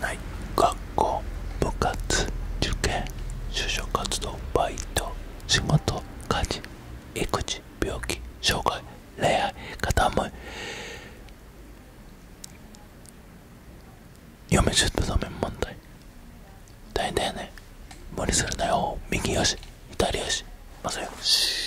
はい学校部活受験就職活動バイト仕事家事育児病気障害恋愛傾い嫁出産問題大変だよね無理するなよ右よし左よしまさよし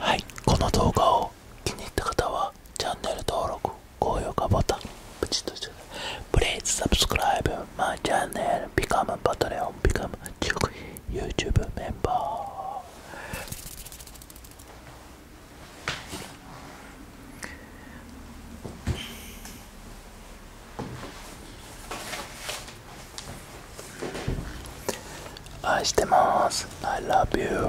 はいこの動画を気に入った方ははチャンネル登録、高評価ボタン、プチッとしてください。Please subscribe my channel, become Patreon, become YouTube member. I love you,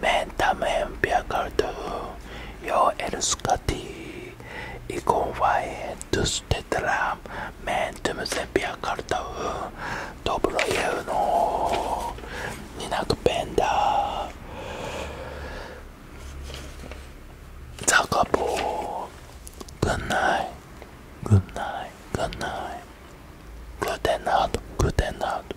Mentalmente viajando, yo eres Katy y confié tus tetram, mentalmente viajando, dobro yo no, ni na kupenda. Zakabo, good night, good night, good night, good night, good night.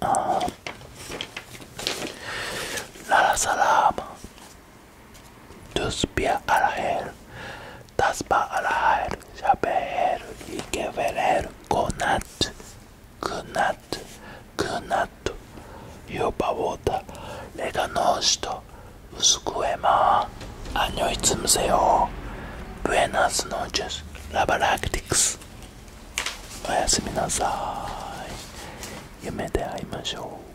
time. Uh, la salam. Tuspia alaher. Taspa alaher. Shabeher. Ikeverer. Gonat. Gunat. Gunat. Yuba water. Leganosto. Uskuema. Anyoitsumseo. Buenas noches. Labaractics. おやすみなさい夢で会いましょう